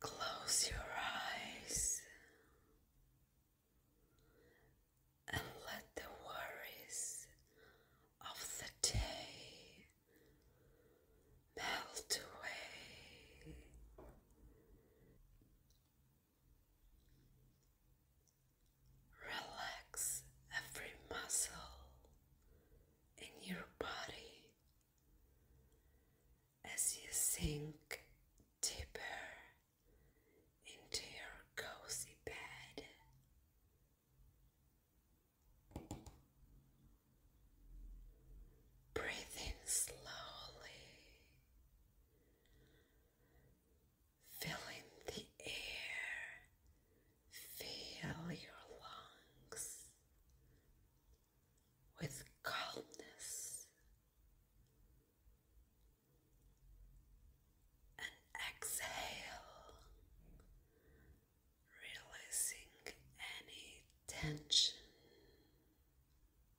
Close your eyes and let the worries of the day melt away. Relax every muscle in your body as you sink deeper into your cozy bed. Breathing slowly Filling the air, fill your lungs with calmness and exhale, releasing any tension.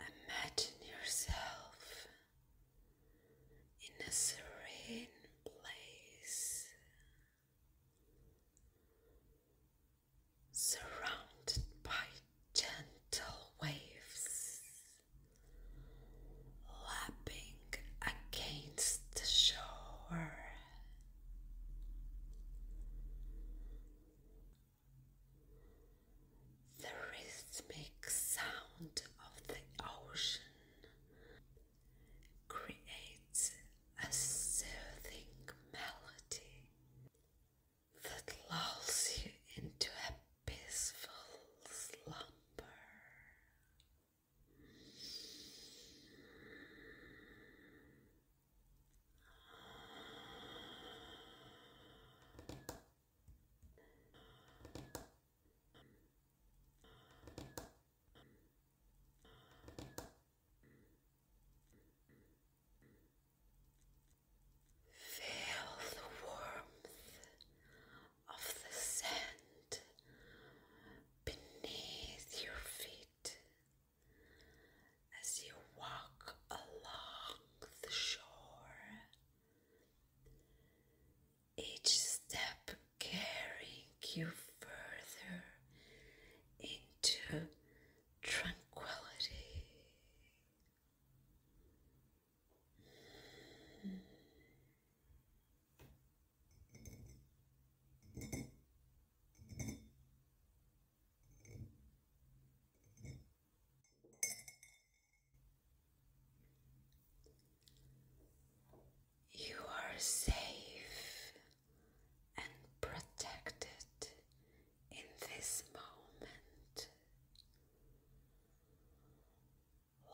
Imagine yourself in a serene place surrounded by gentle waves lapping against the shore the rhythmic sound of the ocean creates a soothing melody that lulls you into a peaceful slumber. Feel the warmth of the sand beneath your feet as you walk along the shore. Each step carrying you further into tranquility. You are safe and protected in this moment.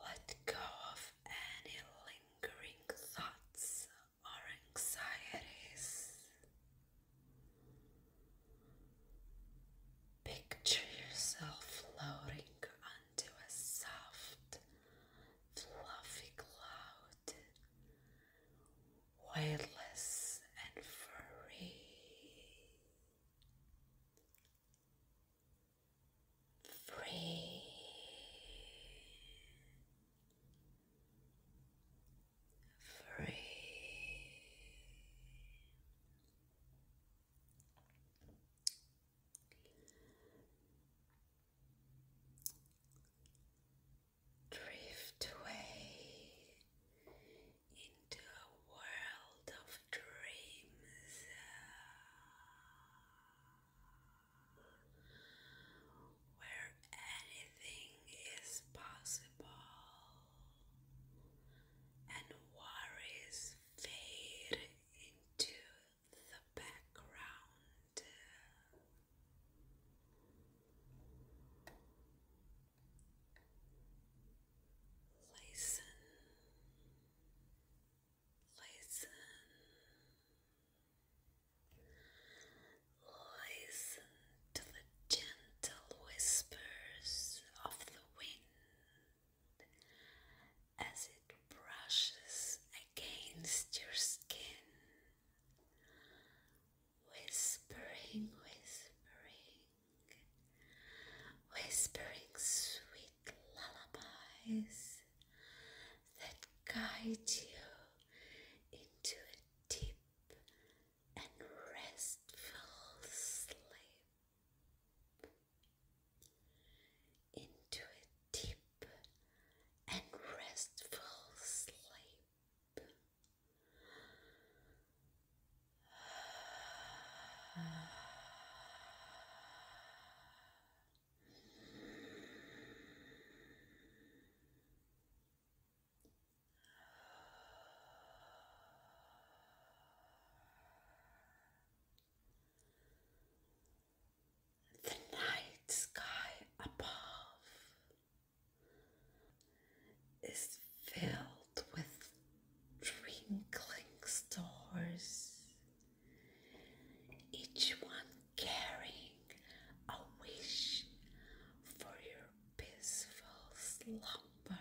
Let go of any lingering thoughts or anxieties. Picture yourself floating onto a soft, fluffy cloud, weightless and free. Free. Free. Drift away into a world of dreams. Where anything is possible and worries fade into the background. Listen, listen, listen to the gentle whispers of the wind as it brushes against your skin, whispering, whispering, whispering sweet lullabies that guide you into a deep and restful sleep into a deep and restful sleep the night sky above is filled with twinkling stars, each one carrying a wish for your peaceful slumber.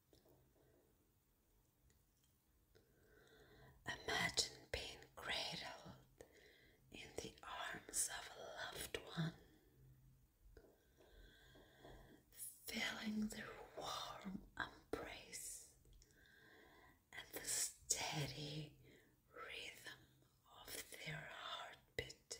Imagine being cradled in the arms of a loved one, feeling their warm embrace and the steady rhythm of their heartbeat.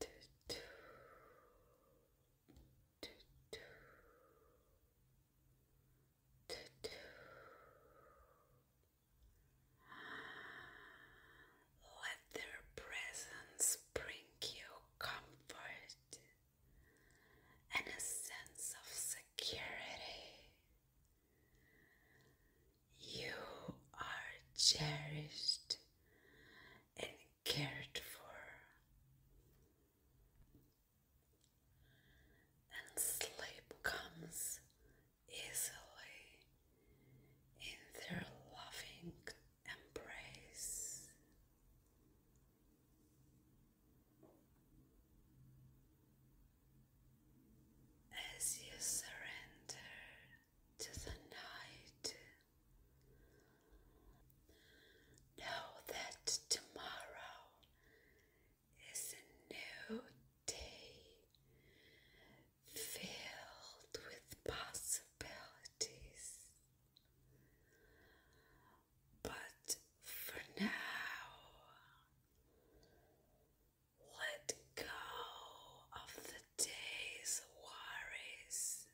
Let their presence bring you comfort and a sense of security. You are cherished and cared for, and sleep comes easily in their loving embrace. As you surrender to the night, know that tomorrow is a new day filled with possibilities. But for now, let go of the day's worries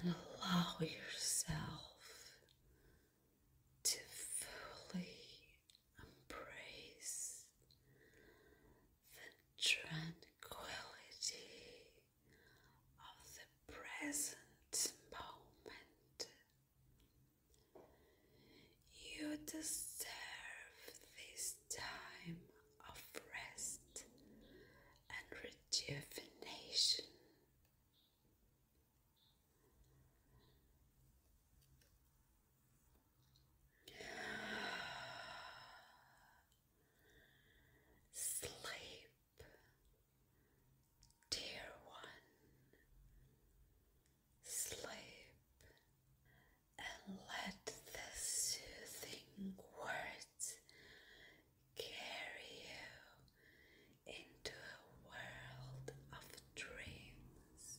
and allow yourself to fully embrace the tranquility of the present moment. You deserve this time of rest and rejuvenation. Sleep, dear one, sleep and let the soothing words carry you into a world of dreams.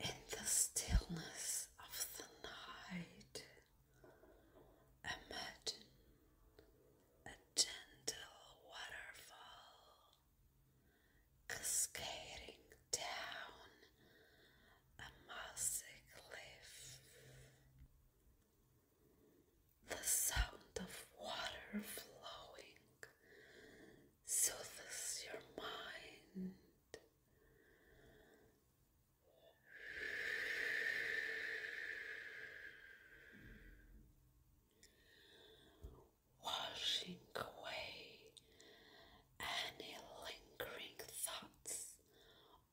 In the stillness of the night, Imagine a gentle waterfall cascading down a mossy cliff. The sound of water flowing soothes your mind washing away any lingering thoughts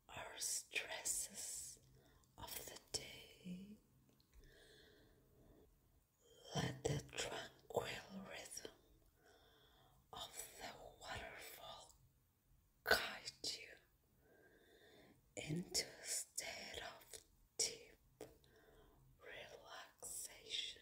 or stresses of the day. Let the tranquil rhythm of the waterfall guide you into a state of deep relaxation.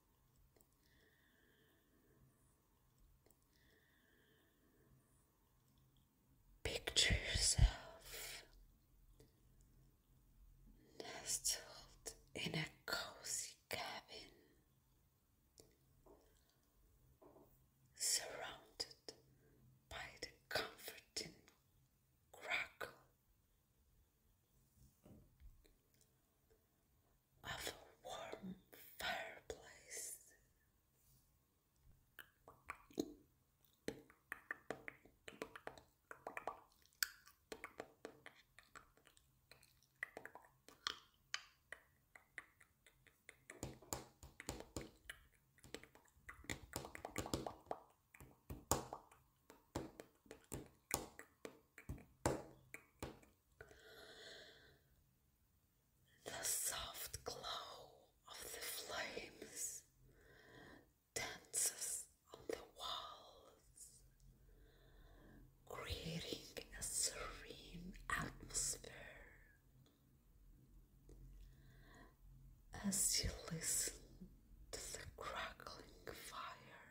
Picture yourself nestled in a cozy cabin surrounded by the comforting crackle of a warm fireplace. The soft glow of the flames dances on the walls, creating a serene atmosphere. As you listen to the crackling fire,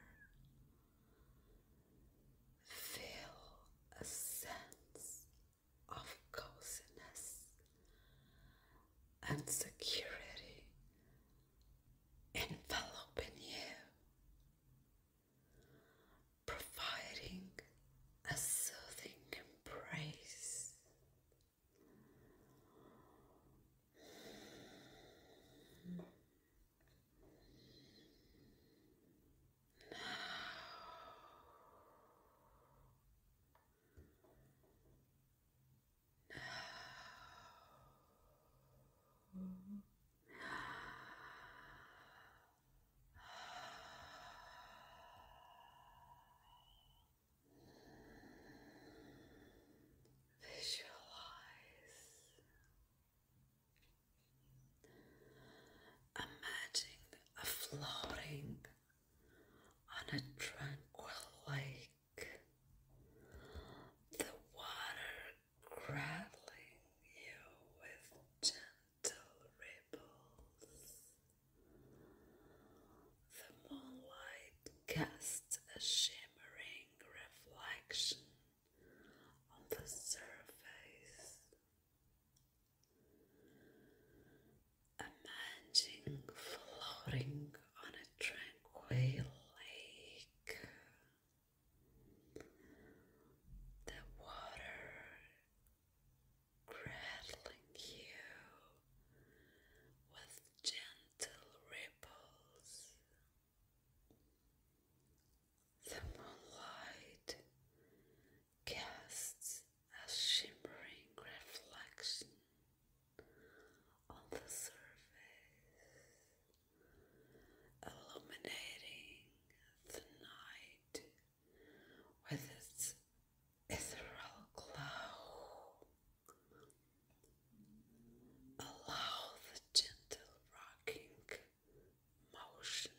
Feel a sense of coziness and security enveloping you, providing a soothing embrace. No. now. Visualize Imagine a floating on a tranquil lake, the water cradling you with gentle ripples. The moonlight casts a shimmering reflection on the surface Imagine floating on a tranquil lake. The water cradling you with gentle ripples. The moonlight casts a shimmering reflection on the surface, illuminating the night with its ethereal glow. Allow the gentle rocking motion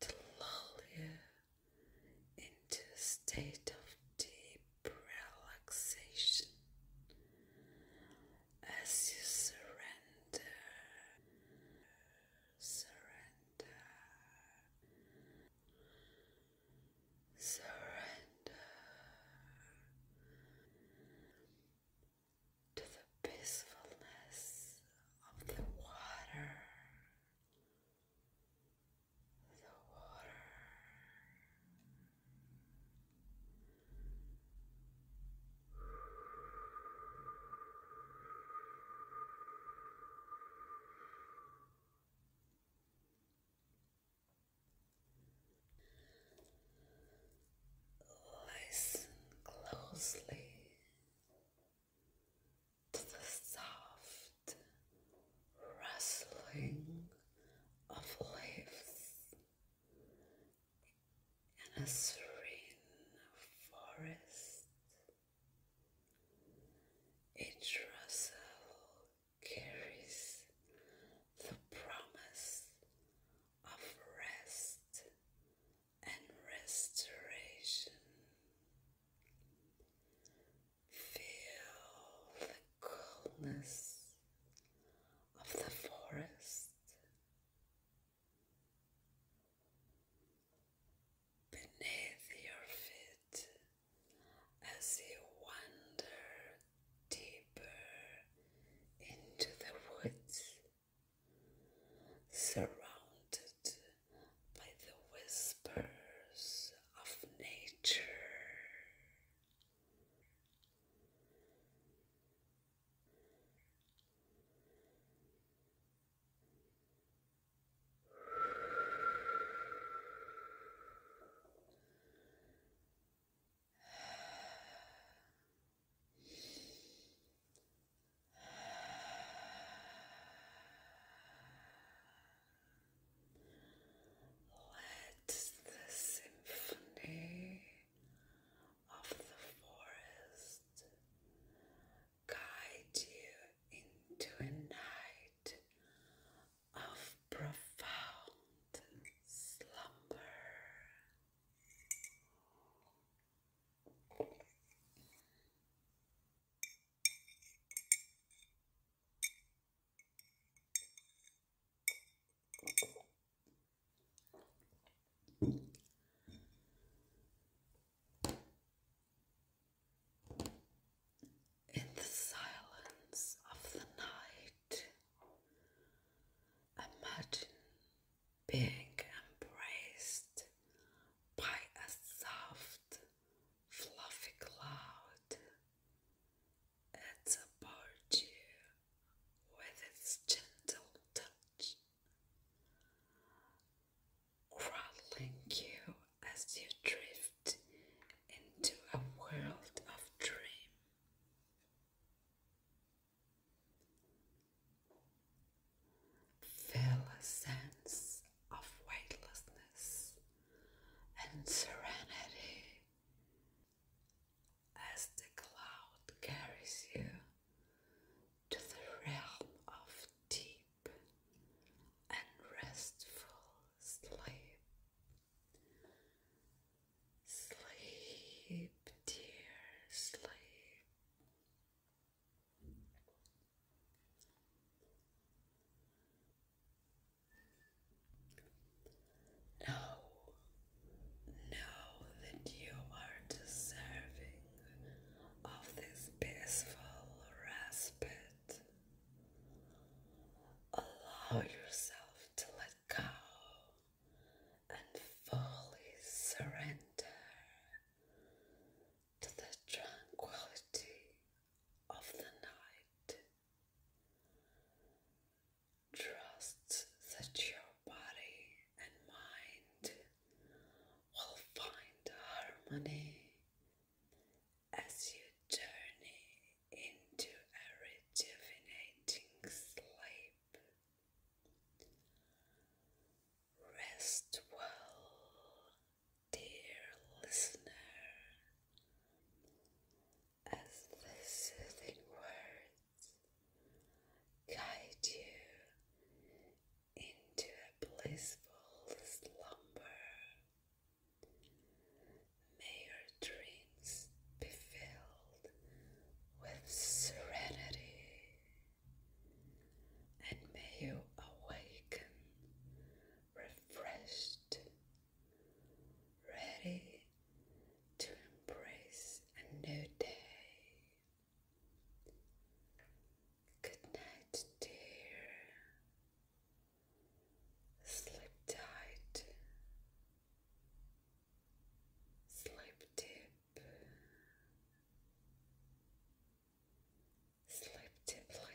to lull you into a state of deep relaxation as you surrender, surrender, surrender to the peacefulness of the water. The water. Listen closely to the soft rustling of leaves in a serene forest. Each rustle carries the promise of rest and restoration. Feel the coolness of the forest beneath your feet as you wander deeper into the woods surrounded by the whispers of nature. Let the symphony of the forest guide you into a night of profound slumber. In the silence of the night, imagine being embraced by a soft, fluffy cloud. It's about you with its gentle touch, cradling you as you drift into a world of dream. Feel a sense of weightlessness and serenity as the cloud carries you to the realm of deep and restful sleep. Sleep, dear, sleep. Now, now that you are deserving of this peaceful respite, allow yourself to let go and fully surrender to the tranquility of the night. Trust that your body and mind will find harmony as you journey into a rejuvenating sleep. Rest well, dear listener, as the soothing words guide you into a blissful slumber. May your dreams be filled with serenity and may you awaken refreshed, ready to embrace a new day. Good night, dear. Sleep tight. Sleep deep. Sleep deeply.